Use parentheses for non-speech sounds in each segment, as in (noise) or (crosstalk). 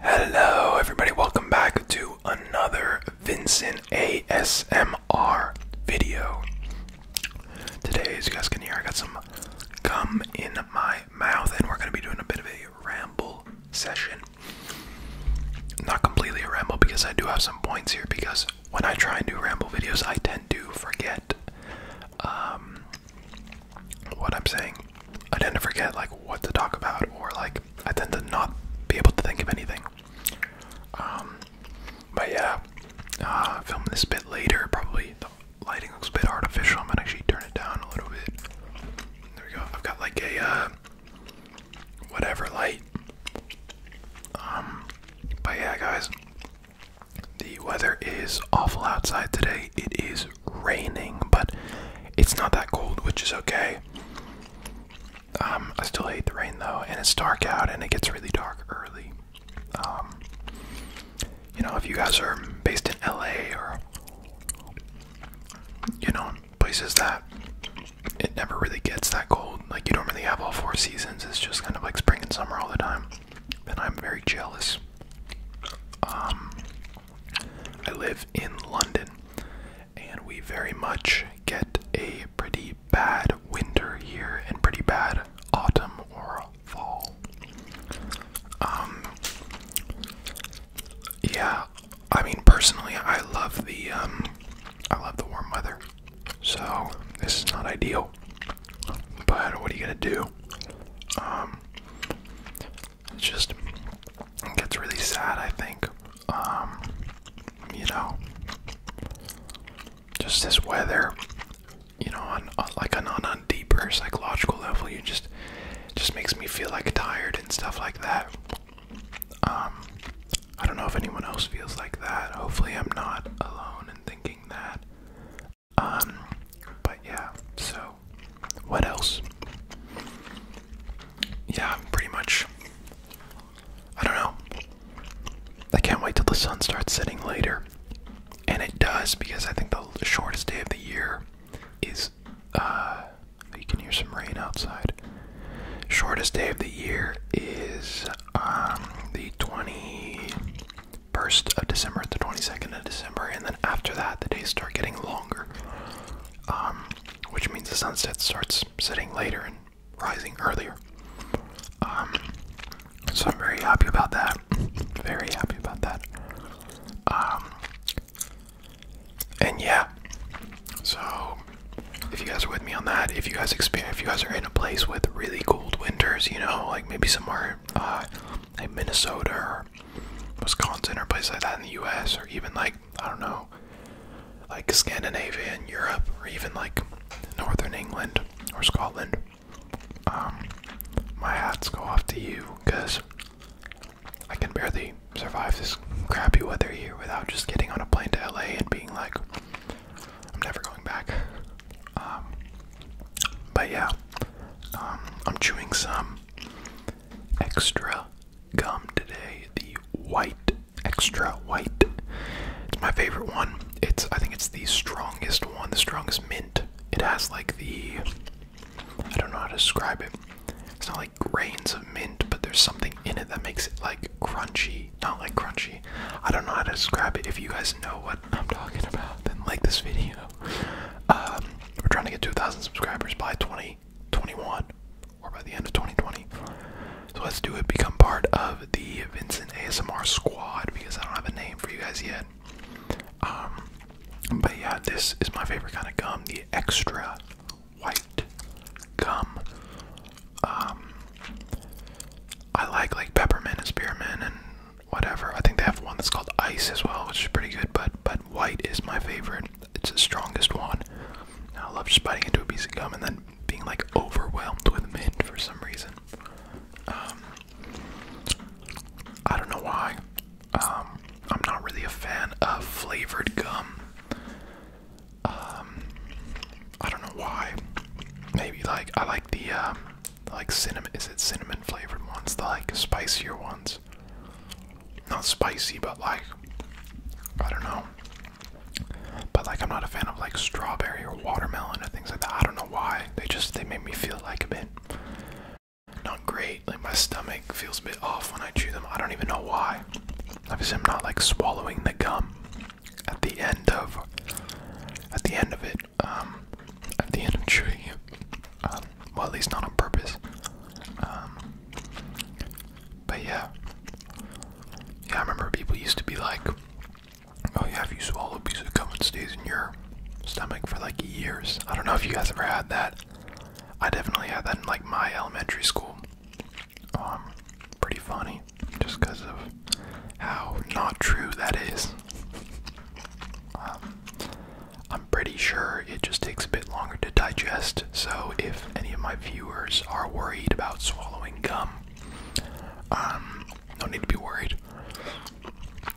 Hello, everybody, welcome back to another Vincent ASMR video. Today, as you guys can hear, I got some gum in my mouth, and we're going to be doing a bit of a ramble session. Not completely a ramble because I do have some points here. Because when I try and do ramble videos, I tend to forget um, what I'm saying. I tend to forget like what to talk about, or like I tend to not be able to think of anything. Um, but yeah, uh, film this bit later. Probably the lighting looks a bit artificial. I'm gonna actually turn it down a little bit. There we go. I've got like a uh, whatever light. Um, but yeah, guys, the weather is awful outside today. It is raining, but it's not that cold, which is okay. Um, I still hate the rain though, and it's dark out, and it gets really dark early. Um, you know, if you guys are based in LA or you know places that it never really gets that cold, like you don't really have all four seasons. It's just kind of like spring and summer all the time, and I'm very jealous. Um, I live in London, and we very much get a pretty bad winter here and pretty bad autumn or fall. Um, yeah, I mean personally, I love the um, I love the warm weather, so this is not ideal. But what are you gonna do? Um, it just gets really sad, I think. Um, you know, just this weather, you know, on, on like on, on a deeper psychological level, you just just makes me feel like tired and stuff like that. Um, I don't know if anyone else feels like that. Hopefully, I'm not alone in thinking that. Um, but yeah, so what else? Yeah, pretty much. I don't know. I can't wait till the sun starts setting later. And it does because I think the shortest day of the year is uh you can hear some rain outside. Shortest day of the year is um the 21st of December, the 22nd of December, and then after that the days start getting longer. Um, which means the sunset starts setting later and rising earlier. Um, so I'm very happy about that. Very happy about that. Um, and yeah, so if you guys are with me on that, if you guys experience, if you guys are in a place with really cold winters, you know, like maybe somewhere uh, like Minnesota or Wisconsin or a place like that in the U.S. or even like I don't know, like Scandinavia and Europe or even like Northern England or Scotland. Um, my hats go off to you because I can barely survive this crappy weather here without just getting on a plane to LA and being like, I'm never going back. Um, but yeah, um, I'm chewing some extra gum today. The white, extra white. It's my favorite one. It's I think it's the strongest one, the strongest mint. It has like the I don't know how to describe it. It's not like grains of mint, but there's something in it that makes it like crunchy. Not like crunchy. I don't know how to describe it. If you guys know what I'm talking about, then like this video. Um, we're trying to get 2,000 subscribers by 2021 or by the end of 2020. So let's do it. Become part of the Vincent ASMR squad because I don't have a name for you guys yet. Um, but yeah, this is my favorite kind of gum, the extra white gum. Um, I like like peppermint and spearmint and whatever. I think they have one that's called ice as well, which is pretty good. But by white is my favorite. It's the strongest one. I love spitting into a piece of gum and then being like overwhelmed with mint for some reason. Um, I don't know why. Um, I'm not really a fan of flavored gum. Um, I don't know why. Maybe like I like the uh, like cinnamon. Is it cinnamon flavored ones? The like spicier ones not spicy, but like I don't know. But like I'm not a fan of like strawberry or watermelon or things like that. I don't know why. They just they make me feel like a bit not great. Like my stomach feels a bit off when I chew them. I don't even know why. Obviously I'm not like swallowing the gum at the end of at the end of it. Um at the end of chewing it. Well, at least not on purpose. Um, but yeah. Yeah, I remember people used to be like, oh yeah, if you swallow a piece of gum, it stays in your stomach for like years. I don't know if you guys ever had that. I definitely had that in like my elementary school. Um, pretty funny, just because of how not true that is. Um, I'm pretty sure it just takes a bit longer to digest, so if any of my viewers are worried about swallowing gum, um, no need to be worried.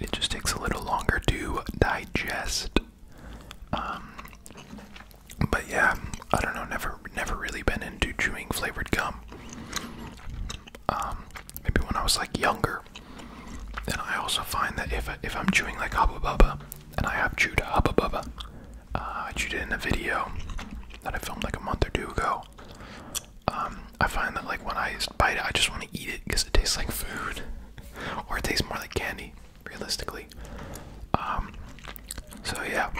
It just takes a little longer to digest. Um, but yeah, I don't know. Never, never really been into chewing flavored gum. Um, maybe when I was like younger, and I also find that if, I, if I'm chewing like Hubba and I have chewed Hubba uh, I chewed it in a video that I filmed like a month or two ago. Um, I find that like when I bite it, I just want to eat it because it tastes like food, (laughs) or it tastes more like candy, realistically. Um, so yeah,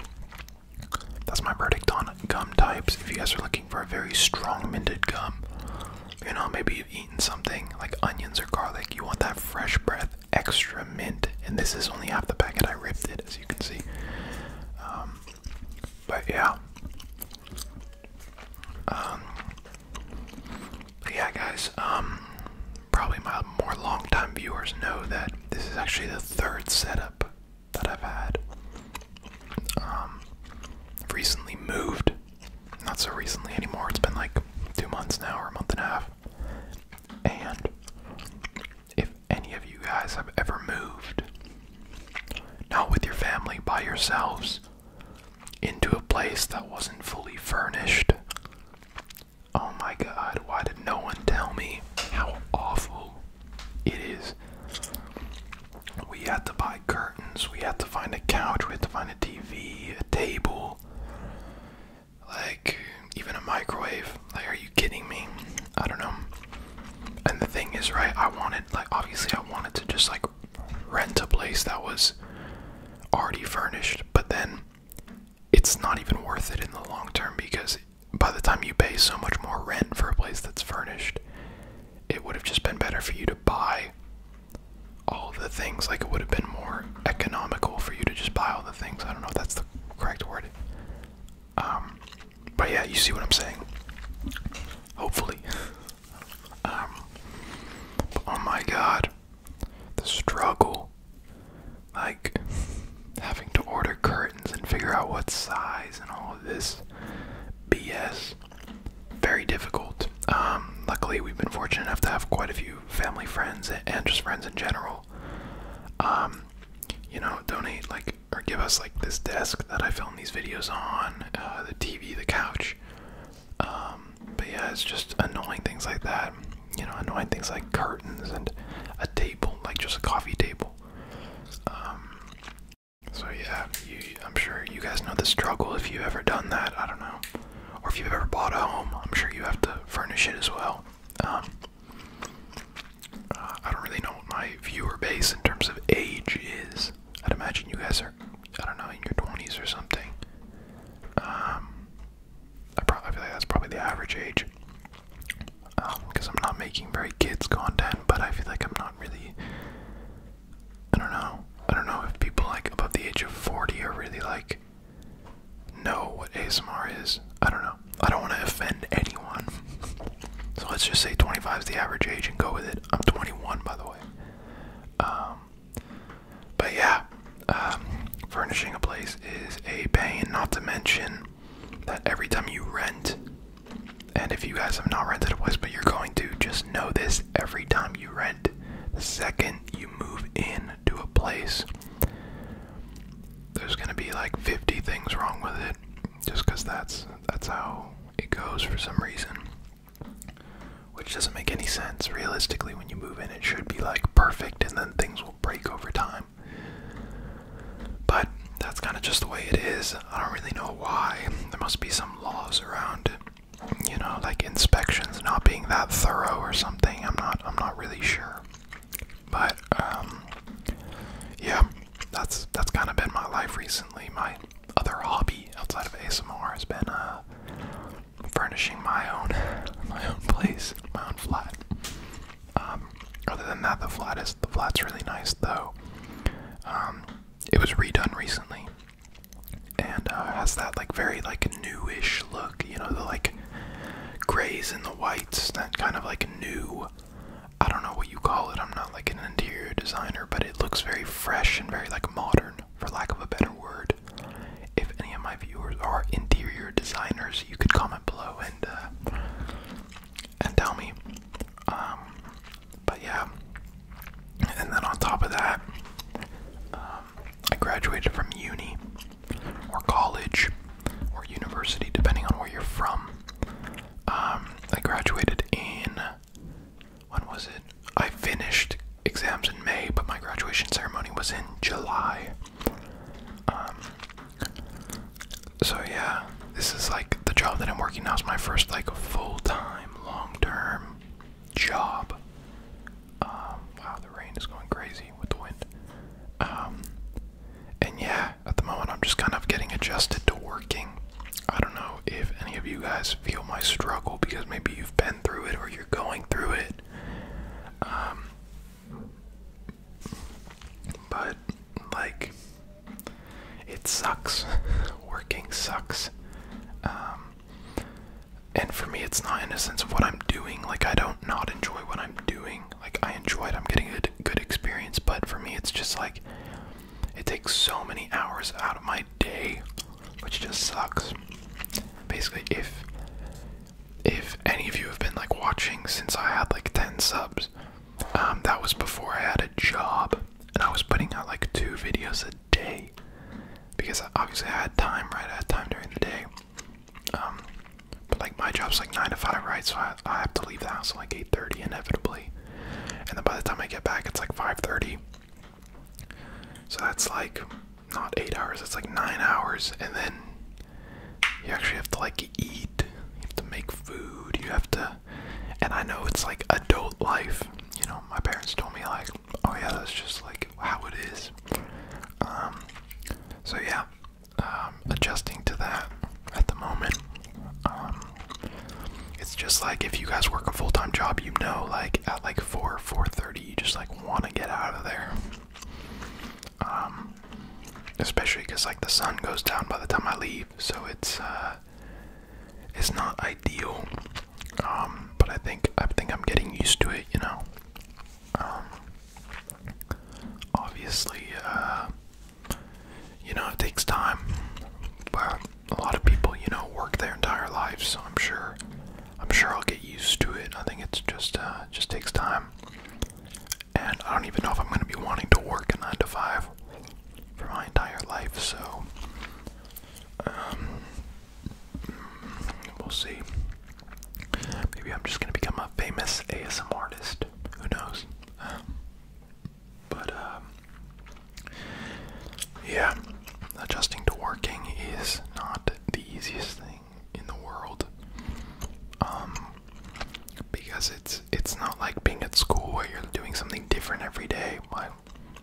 that's my verdict on gum types. If you guys are looking for a very strong minted gum, you know, maybe you've eaten something like onions or garlic, you want that fresh breath, extra mint. And this is only half the packet. I ripped it, as you can see. Um, but yeah. Um, yeah, guys. Um, probably my more long-time viewers know that this is actually the third setup that I've had. recently moved, not so recently anymore. It's been like two months now or a month and a half. And if any of you guys have ever moved, not with your family, by yourselves, into a place that wasn't fully furnished, oh my god, why did no one tell me how awful it is? We had to buy curtains, we had to find a couch, we had to find a TV, a table, like even a microwave. Like, are you kidding me? I don't know. And the thing is, right, I wanted, like, obviously, I wanted to just, like, rent a place that was already furnished, but then it's not even worth it in the long term because by the time you pay so much more rent for a place that's furnished, it would have just been better for you to buy all the things. Like it would have been more economical for you to just buy all the things. I don't know if that's the correct word. Um, but yeah, you see what I'm saying. Hopefully. (laughs) Um, oh my god. The struggle. Like, having to order curtains and figure out what size and all of this BS very difficult. Um, luckily, we've been fortunate enough to have quite a few family friends and just friends in general. Um, you know, donate like or give us like this desk that I film these videos on, uh, the TV, the couch. Um, but yeah, it's just annoying things like that. You know, annoying things like curtains and a table, like just a coffee table. so yeah, I'm sure you guys know the struggle if you've ever done that. I don't know or if you've ever bought a home, I'm sure you have to furnish it as well. Um, uh, I don't really know what my viewer base in terms of age is. I'd imagine you guys are, I don't know, in your 20s or something. Um, I probably feel like that's probably the average age. Because um, I'm not making very kids content, but I feel like I'm not really I don't know. I don't know if people like above the age of 40 are really like know what ASMR is. I don't know. I don't want to offend anyone. (laughs) so let's just say 25 is the average age and go with it. I'm 21 by the way. Um, but yeah, um, furnishing a place is a pain not to mention that every time you rent and if you guys have not rented a place but you're going to just know this every time you rent the second you move in to a place, there's gonna be like 50 things wrong with it, just because that's that's how it goes for some reason. Which doesn't make any sense. Realistically, when you move in, it should be like perfect, and then things will break over time. But that's kind of just the way it is. I don't really know why. There must be some laws around it you know, like inspections not being that thorough or something. I'm not I'm not really sure. But um yeah, that's that's kind of been my life recently. My other hobby outside of ASMR has been uh furnishing my own (laughs) my own place, my own flat. Um other than that the flat is the flat's really nice though. Um it was redone recently and uh, has that like very like newish look, you know, the like grays and the whites, that kind of like new. I don't know what you call it. I'm not like an interior designer, but it looks very fresh and very like modern, for lack of a better word. If any of my viewers are interior designers, you could comment below and uh, and tell me. Um, but yeah, and then on top of that, um, I graduated from uni or college or university, depending on where you're from. Um, I graduated in. When was it? I finished exams in May, but my graduation ceremony was in July. Um, so yeah, this is like the job that I'm working now is my first like full-time, long-term job. Um, wow, the rain is going crazy with the wind. Um, and yeah, at the moment I'm just kind of getting adjusted to working. I don't know if any of you guys feel my struggle because maybe you've been through it or you're going through it. Um, but like, it sucks. (laughs) working sucks. And for me, it's not in a sense of what I'm doing. Like, I don't not enjoy what I'm doing. Like, I enjoy it. I'm getting a good experience. But for me, it's just like it takes so many hours out of my day, which just sucks. Basically, if if any of you have been like watching since I had like 10 subs, um, that was before I had a job, and I was putting out like two videos a day because obviously I had time, right? I had time during the day. Um, but like my job's like nine to five, right? So I, I have to leave the house like eight thirty inevitably, and then by the time I get back, it's like five thirty. So that's like not eight hours; it's like nine hours, and then you actually have to like eat. You have to make food. You have to, and I know it's like adult life. You know, my parents told me like oh yeah, that's just like how it is. Um, so yeah, um, adjusting to that at the moment. Um, it's just like if you guys work a full-time job, you know, like at like four, four thirty, you just like want to get out of there. especially because like the sun goes down by the time I leave, so it's uh, it's not ideal. Um, but I think I think I'm getting used to it, you know. Um, obviously, uh, you know, it takes time. But a lot of people, you know, work their entire lives, so I'm sure, I'm sure I'll get used to it. I think it's just, uh, just takes time. And I don't even know if I'm going to be wanting to work a nine to five for my entire life. So, um, We'll see. Maybe I'm just gonna become a famous ASM artist. Who knows? Um, but um, yeah, adjusting to working is not the easiest thing in the world. Um, because it's it's not like being at school where you're doing something different every day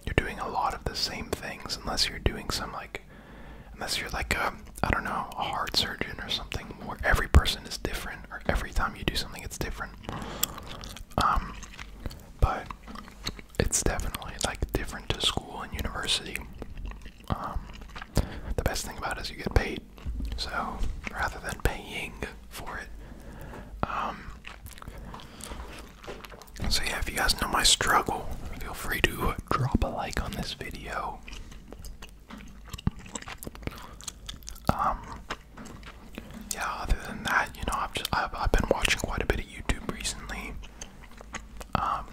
you're doing a lot of the same things unless you're doing some like unless you're like a I don't know, a heart surgeon or something where every person is different or every time you do something it's different. Um but it's definitely like different to school and university. Um the best thing about it is you get paid. So rather than paying for it, um so yeah, if you guys know my struggle, feel free to drop a like on this video. Um, yeah. Other than that, you know, I've I've, been watching quite a bit of YouTube recently. Um,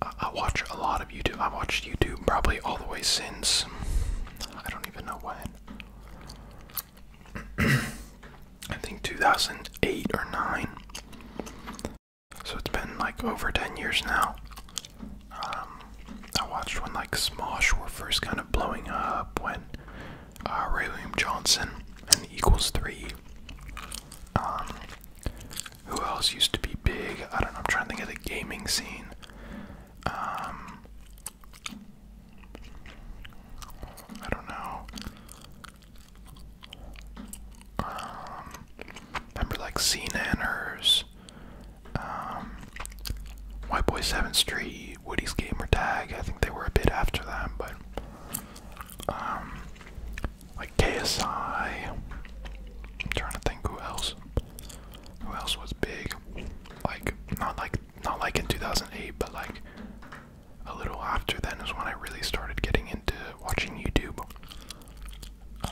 I, I watch a lot of YouTube. I watched YouTube probably all the way since I don't even know when. I think 2008 or 9. So it's been like over 10 years now. Um, I watched when like Smosh were first kind of blowing up, when uh, Ray William Johnson and Equals 3. Um, who else used to be big? I don't know, I'm trying to think of the gaming scene. Um, I don't know. Um, remember like C Nanners, um, White Boy 7th Street, Woody's Gamer Tag. I think they were a bit after that, but um, like KSI. I'm trying to think who else. Who else was big? Like not like not like in 2008, but like a little after then is when I really started getting into watching YouTube.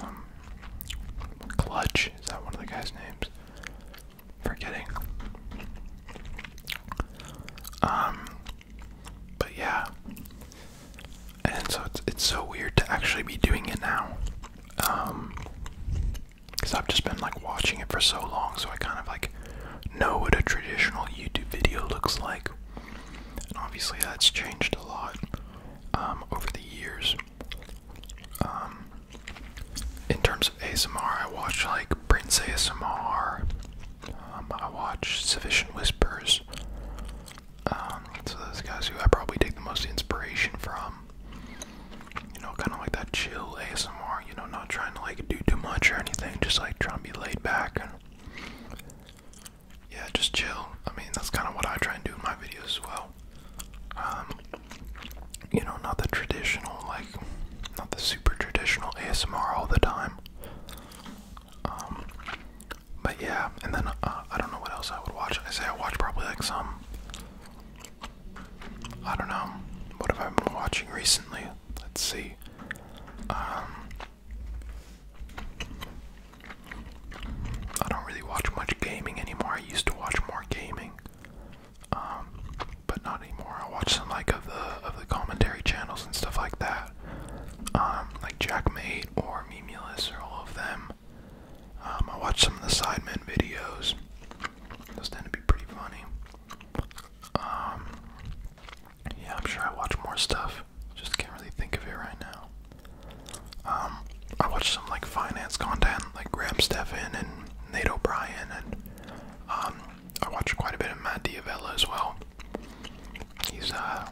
Um, Clutch, is that one of the guys' names? Forgetting. Um, but yeah. And so it's, it's so weird to actually be doing it now. Um, because I've just been like watching it for so long, so I kind of like know what a traditional YouTube video looks like. And obviously, that's changed a lot um, over the years. Um, in terms of ASMR, I watch like Prince ASMR, um, I watch Sufficient Whispers. so, those guys who I probably take the most inspiration from. You know, kind of like that chill ASMR, you know, not trying to like do too much or anything, just like trying to be laid back yeah, just chill. I mean, that's kind of what I try and do in my videos as well. Um, you know, not the traditional, like, not the super traditional ASMR all the time. Um, but yeah, and then uh, I don't know what else I would watch. I say I watch probably like some. I don't know. What have I been watching recently? Let's see. Um, I don't really watch much gaming anymore. I used to watch more gaming, um, but not anymore. I watch some like of the of the commentary channels and stuff like that, um, like Jack Jackmate or Memulus or all of them. Um, I watch some of the Sidemen videos. Those tend to be pretty funny. Yeah, I'm sure I watch more stuff. Just can't really think of it right now. Um, I watch some like finance content, like Graham Stephan and Nate O'Brien, and um, I watch quite a bit of Matt Diavella as well. He's uh,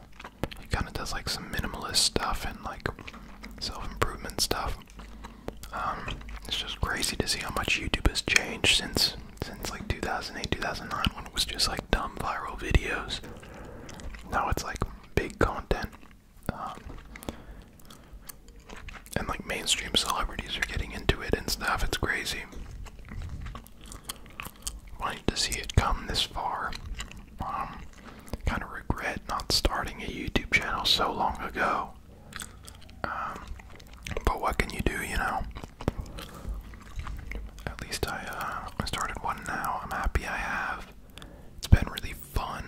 he kind of does like some minimalist stuff and like self improvement stuff. Um, it's just crazy to see how much YouTube has changed since since like 2008, 2009 when it was just like dumb viral videos. Now it's like big content. Um, and like mainstream celebrities are getting into it and stuff. It's crazy. Wanted to see it come this far. Um, kind of regret not starting a YouTube channel so long ago. Um, but what can you do, you know? At least uh, I started one now. I'm happy I have. It's been really fun,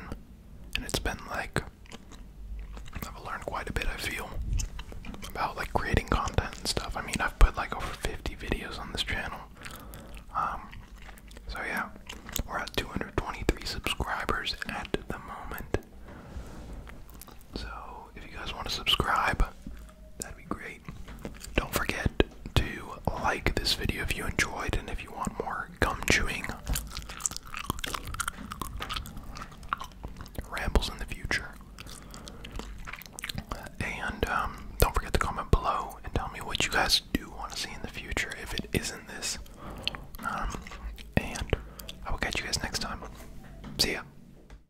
and it's been like I've learned quite a bit. I feel about like creating content and stuff. I mean, I've put like over 50 videos on this channel. Um, so yeah, we're at 223 subscribers at the moment. So if you guys want to subscribe, that'd be great. Don't forget to like this video if you enjoyed and if you want more gum chewing rambles in the future. And um, don't forget to comment below and tell me what you guys do want to see in the future if it isn't this. Um, and I will catch you guys next time. See ya.